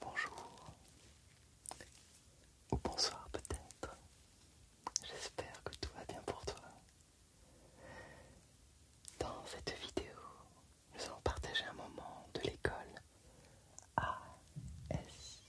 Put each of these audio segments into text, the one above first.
Bonjour ou bonsoir peut-être. J'espère que tout va bien pour toi. Dans cette vidéo, nous allons partager un moment de l'école ASMR.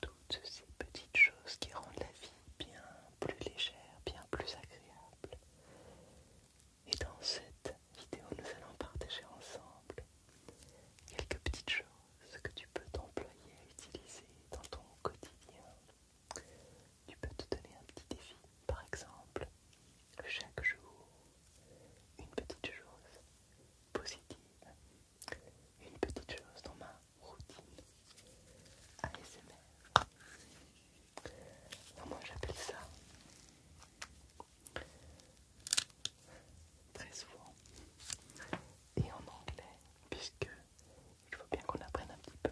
toutes ces petites choses qui rendent la vie bien plus légère, bien plus agréable. Et dans cette vidéo, nous allons partager ensemble quelques petites choses que tu peux t'employer à utiliser dans ton quotidien. Tu peux te donner un petit défi, par exemple, chaque jour, une petite chose positive une petite chose dans ma routine ASMR. Non moi j'appelle ça très souvent et en anglais puisque il faut bien qu'on apprenne un petit peu.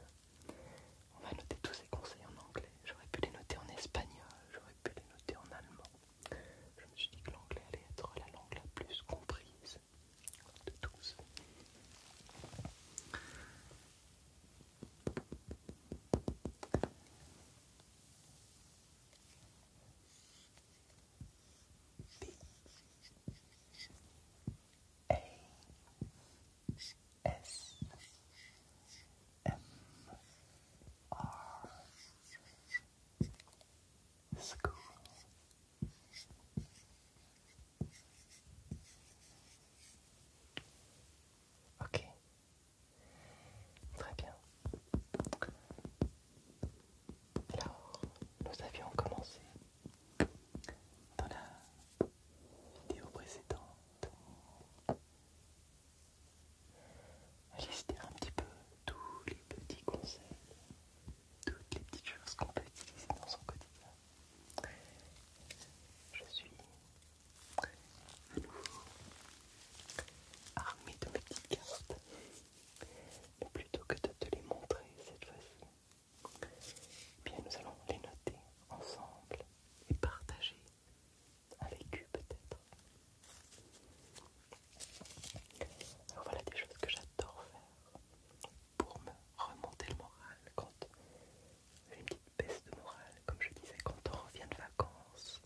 On va noter tous ces conseils en anglais. J'aurais pu les noter en espagnol, j'aurais pu les noter en allemand je me suis dit que l'anglais allait être la langue la plus comprise de tous. Ok, très bien. Alors, nous avions commencé dans la vidéo précédente à lister un petit peu tous les petits conseils, toutes les petites choses qu'on peut utiliser dans son quotidien. Je suis à armée de mes petites cartes, mais plutôt que de te les montrer cette fois-ci, eh bien nous allons les noter ensemble et partager avec eux peut-être alors voilà des choses que j'adore faire pour me remonter le moral quand j'ai une petite baisse de moral, comme je disais, quand on revient de vacances,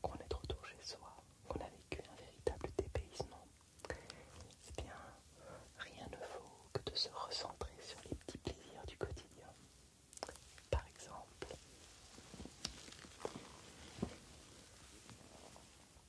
qu'on est de retour chez soi, qu'on a vécu un véritable dépaysement. Eh bien, rien ne vaut que de se recentrer sur les petits plaisirs du quotidien. Par exemple,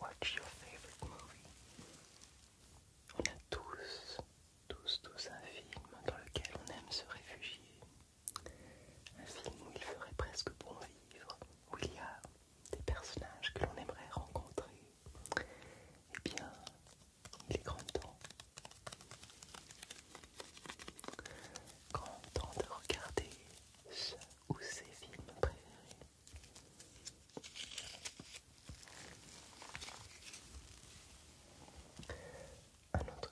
Watch your favorite movie? On a tous, tous, tous un film dans lequel on aime se réfugier. Un film où il ferait presque bon vivre, où il y a des personnages que l'on aimerait rencontrer. Eh bien, il est grand temps. Grand temps de regarder ce ou ces films préférés. Un autre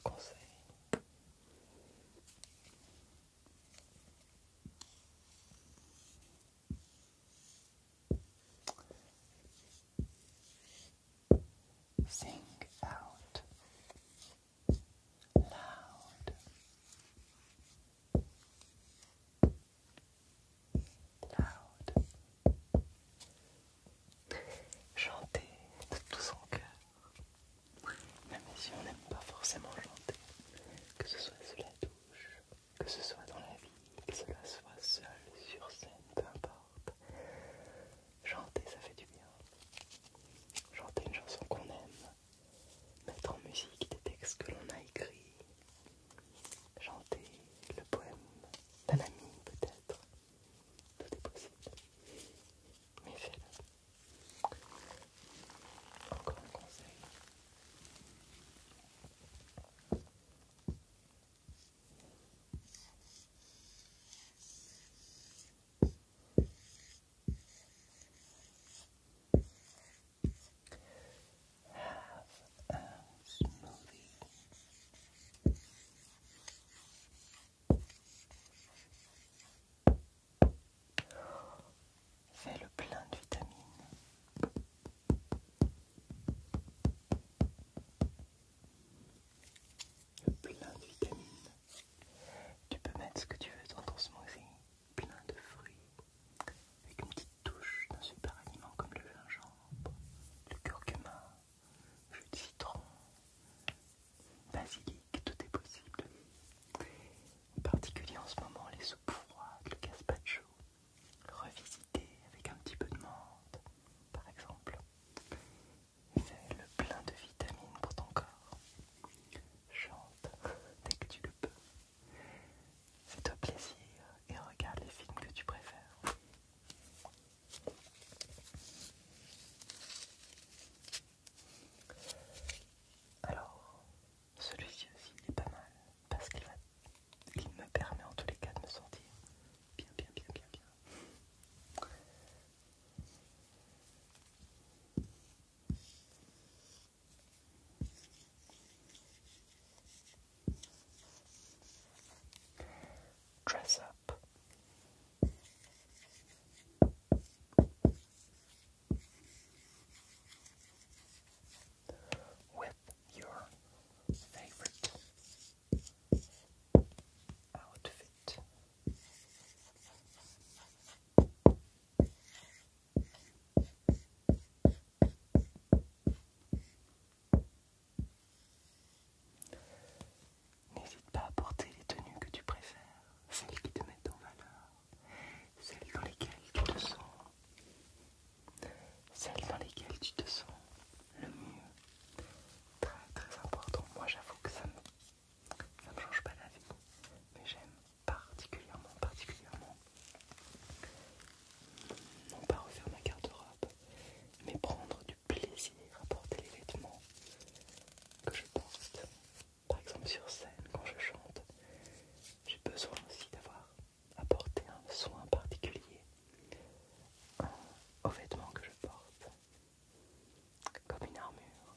Sing out loud. Chanter de tout son cœur. Même si on n'aime pas forcément chanter, que ce soit sous la douche, que ce soit dans la vie, que cela soit seul, sur scène, peu importe. Chanter, ça fait du bien. Chanter une chanson qu'on aime, mettre en musique des textes que l'on a écrits, chanter le poème d'un ami peut-être. Tout est possible. Mais fais-le. Encore un conseil. Fais le plein de vitamines. Le plein de vitamines. Tu peux mettre ce que tu veux dans ton smoothie plein de fruits, avec une petite touche d'un super aliment comme le gingembre, le curcuma, jus de citron, basilic, tout est possible. En particulier en ce moment, les soupes froides, le gazpacho, revisité avec un petit peu de menthe, par exemple. Fais le plein de vitamines pour ton corps. Chante dès que tu le peux. Fais-toi plaisir et regarde les films que tu préfères. Alors, celui-ci aussi n'est est pas mal parce qu'il me permet en tous les cas de me sentir bien, bien, bien, bien, bien. Dress up. With your favorite outfit. N'hésite pas à porter les tenues que tu préfères, celles qui te mettent en valeur, celles dans lesquelles tu te sens, celles dans lesquelles tu te sens le mieux. Très très important. Moi j'avoue que ça me, ça me change pas la vie, mais j'aime particulièrement, particulièrement, non pas refaire ma garde-robe, mais prendre du plaisir à porter les vêtements que je porte. Par exemple sur scène, quand je chante, j'ai besoin aussi d'avoir apporté un soin particulier aux vêtements que je porte, comme une armure,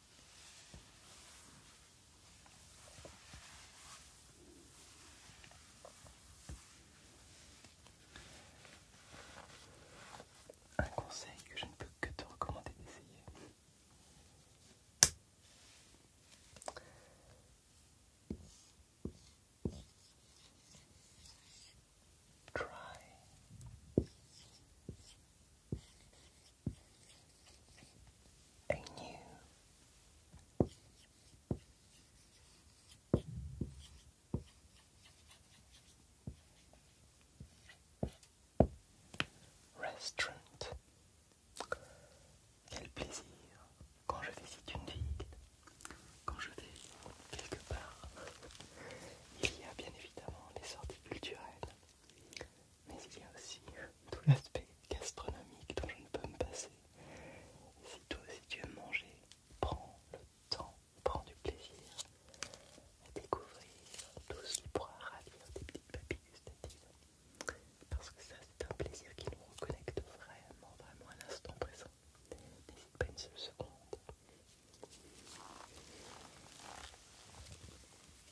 Un conseil que je ne peux que te recommander d'essayer a restaurant. Quel plaisir quand je visite une ville, quand je vais quelque part. Il y a bien évidemment des sorties culturelles, mais il y a aussi tout l'aspect gastronomique dont je ne peux me passer. Si toi tu veux manger, prends le temps, prends du plaisir à découvrir tout ce qui pourra ravir tes petites papilles gustatives. Parce que ça, c'est un plaisir qui nous reconnecte vraiment, vraiment à l'instant présent. N'hésite pas une seule seconde.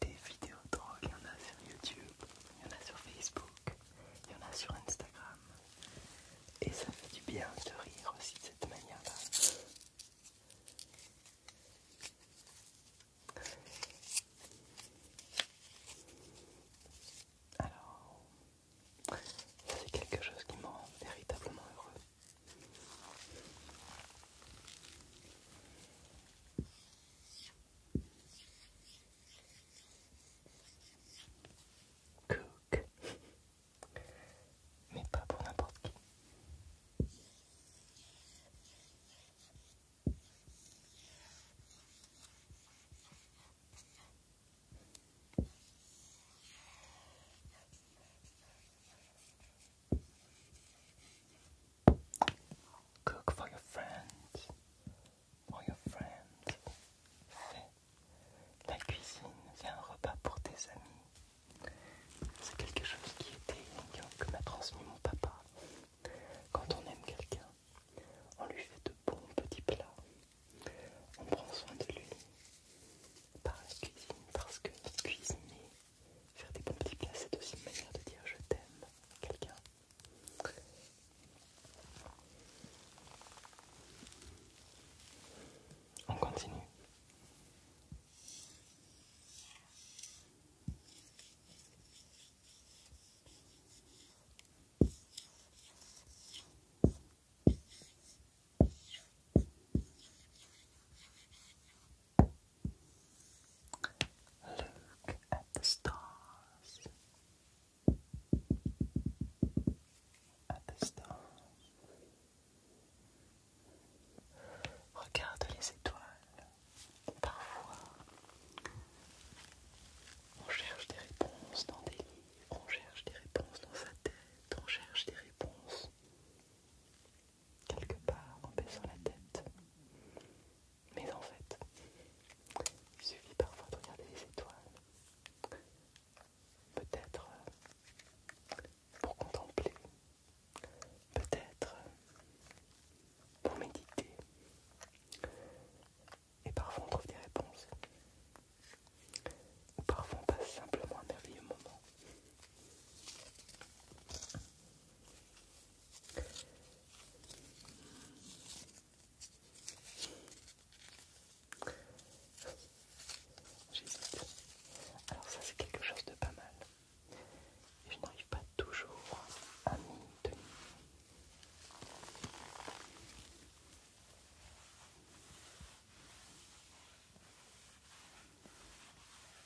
des vidéos drôles, il y en a sur YouTube, il y en a sur Facebook, il y en a sur Instagram. Et ça fait du bien de rire aussi de cette manière-là. Alors, c'est quelque chose qui me rend véritablement heureux. Cook. Mais pas pour n'importe qui. Cook for your friends. For your friends. Fais la cuisine, c'est un repas pour tes amis. C'est quelque chose qui était, que m'a transmis mon papa. Quand on aime quelqu'un, on lui fait de bons petits plats. On prend soin de lui par la cuisine, parce que cuisiner, Faire des bons petits plats, c'est aussi une manière de dire je t'aime quelqu'un. On continue. Look at the stars. At the stars. Regarde les étoiles. Parfois, on cherche des réponses dans des livres, on cherche des réponses dans sa tête, on cherche des réponses quelque part en baissant la tête. Mais en fait, il suffit parfois de regarder les étoiles, peut-être euh, pour contempler, peut-être euh, pour méditer. Et parfois on trouve des réponses. Ou parfois on passe simplement un merveilleux moment. Alors ça c'est quelque chose de pas mal. je n'arrive pas toujours à m'y tenir.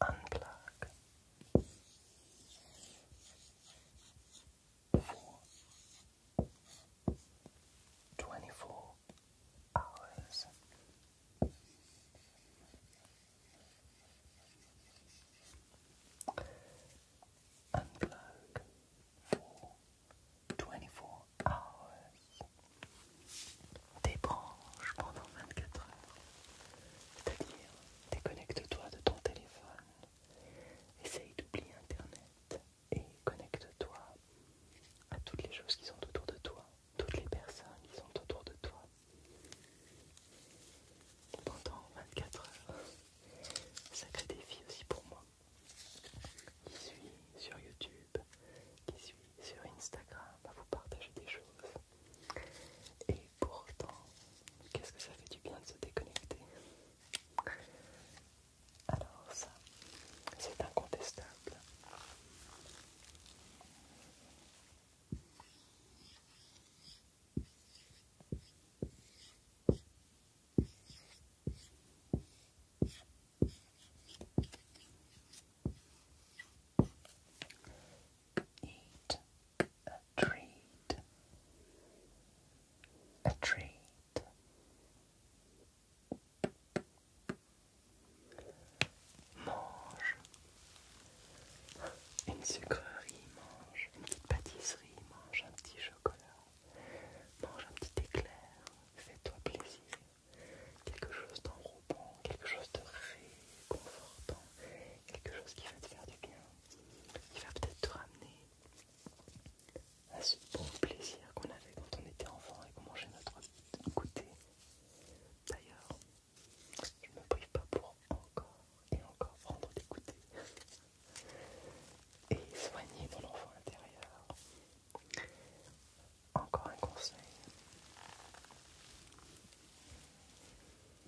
unplug. For twenty four hours. Unplug for twenty four hours. débranche pendant 24 heures. C'est-à-dire, déconnecte-toi de ton téléphone, essaye d'oublier Internet et connecte-toi à toutes les choses qui sont autour de toi, toutes les personnes qui sont autour de toi. Pendant 24 heures, sacré défi aussi pour moi. Qui suis sur YouTube, qui suis sur Instagram à vous partager des choses. Et pourtant, qu'est-ce que ça fait du bien de se déconnecter Alors ça, c'est incontestable eat a treat, a treat. Mange une sucrerie, mange une petite pâtisserie, mange un petit chocolat, mange un petit éclair, fais-toi plaisir, quelque chose d'enroulé quelque chose de réconfortant, quelque chose qui va te faire du bien, qui va peut-être te ramener à ce bon plaisir qu'on avait quand on était enfant et qu'on mangeait notre goûter. D'ailleurs, je ne me prive pas pour encore et encore prendre des goûters et soigner mon enfant intérieur. Encore un conseil.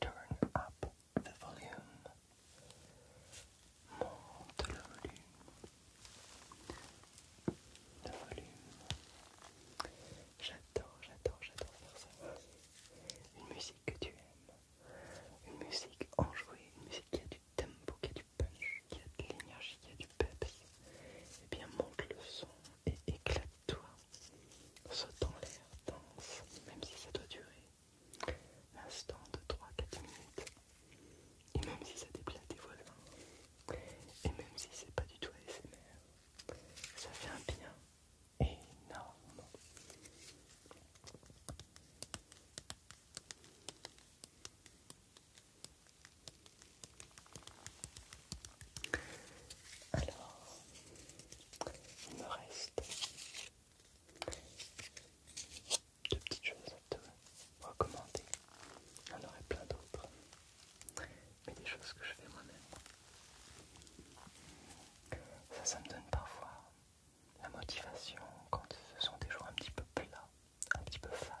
turn up the volume, monte le volume, le volume. J'adore, j'adore, j'adore faire ça. Une musique que tu aimes, une musique enjouée, une musique qui a du tempo, qui a du punch, qui a de l'énergie, qui a du peps. Eh bien, monte le son et éclate-toi sautent en l'air, dense même si ça doit durer un instant de 3-4 minutes, et même si ça déplate des et même si c'est pas du tout ASMR, ça fait un bien énorme. Alors, il me reste deux petites choses à te recommander. Il y en aurait plein d'autres, mais des choses que je fais moi-même. Ça, ça me donne parfois la motivation quand ce sont des jours un petit peu plats, un petit peu fades.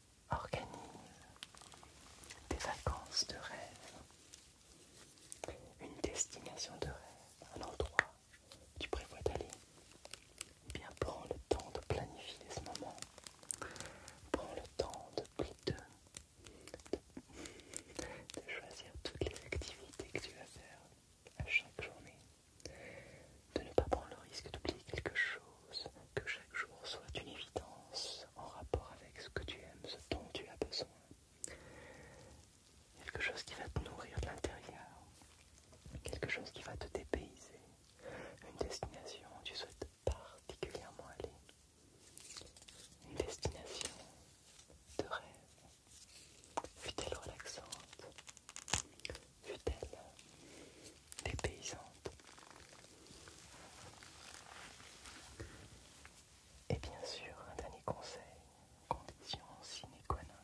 organise des vacances de rêve, une destination de rêve, un endroit où tu prévois d'aller, eh bien prends le temps de planifier ce moment, prends le temps de, de choisir toutes les activités que tu vas faire à chaque journée, de ne pas prendre le risque d'oublier quelque chose que chaque jour soit une évidence en rapport avec ce que tu aimes, ce dont tu as besoin. Quelque chose qui va te nourrir de l'intérieur, quelque chose qui va te dépayser, une destination où tu souhaites particulièrement aller, une destination de rêve. fut relaxante fut paysans. Et bien sûr, un dernier conseil, condition sine qua non.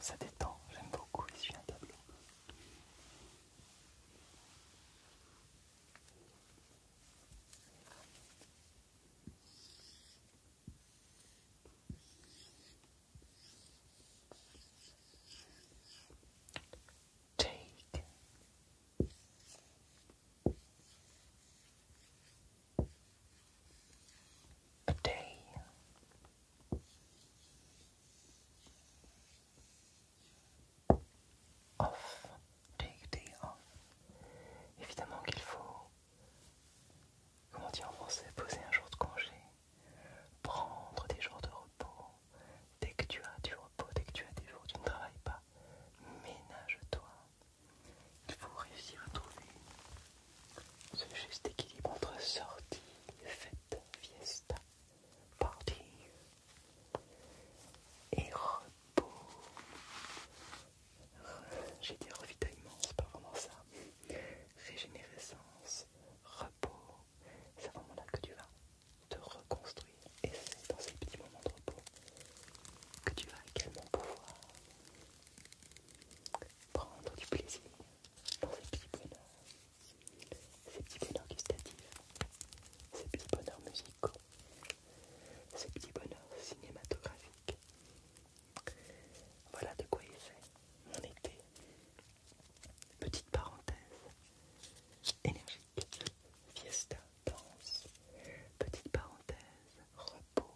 Ça détend, j'aime beaucoup suis un tableau. Take a Off, take day off. Évidemment qu'il faut, comment dire en français, poser un jour de congé, prendre des jours de repos. Dès que tu as du repos, dès que tu as des jours où tu ne travailles pas, ménage-toi. Il faut réussir à trouver ce juste équilibre entre sortie, fête, fiesta, party et repos. J'ai dit revitaillement, c'est pas vraiment ça. Régénérescence, repos, c'est à moment là que tu vas te reconstruire. Et c'est dans ces petits moments de repos que tu vas également pouvoir prendre du plaisir dans ces petits bonheurs, ces petits bonheurs gustatifs, ces petits bonheurs musicaux, ces petits bonheurs cinématographiques. Voilà de quoi il fait mon été. Petite parenthèse énergique, fiesta, danse, petite parenthèse, repos,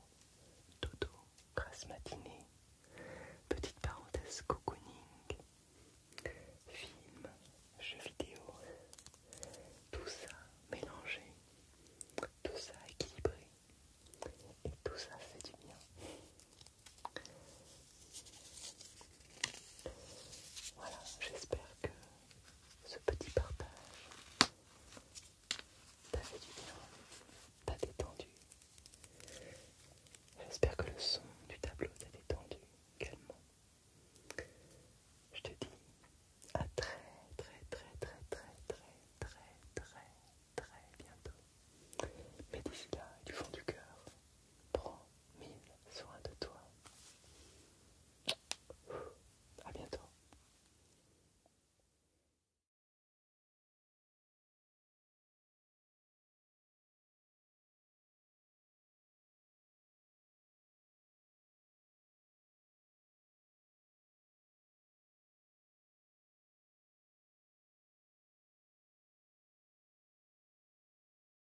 dodo, grasse matinée, petite parenthèse, cocooning, film, jeux vidéo, tout ça mélangé, tout ça équilibré, et tout ça fait du bien. Voilà, j'espère que ce petit partage t'a fait du bien, t'a détendu. J'espère que le son du tableau t'a détendu également. Je te dis à très très très très très très très très très bientôt. Mais d'ici là, du fond du cœur, Prends mille soins de toi. À bientôt.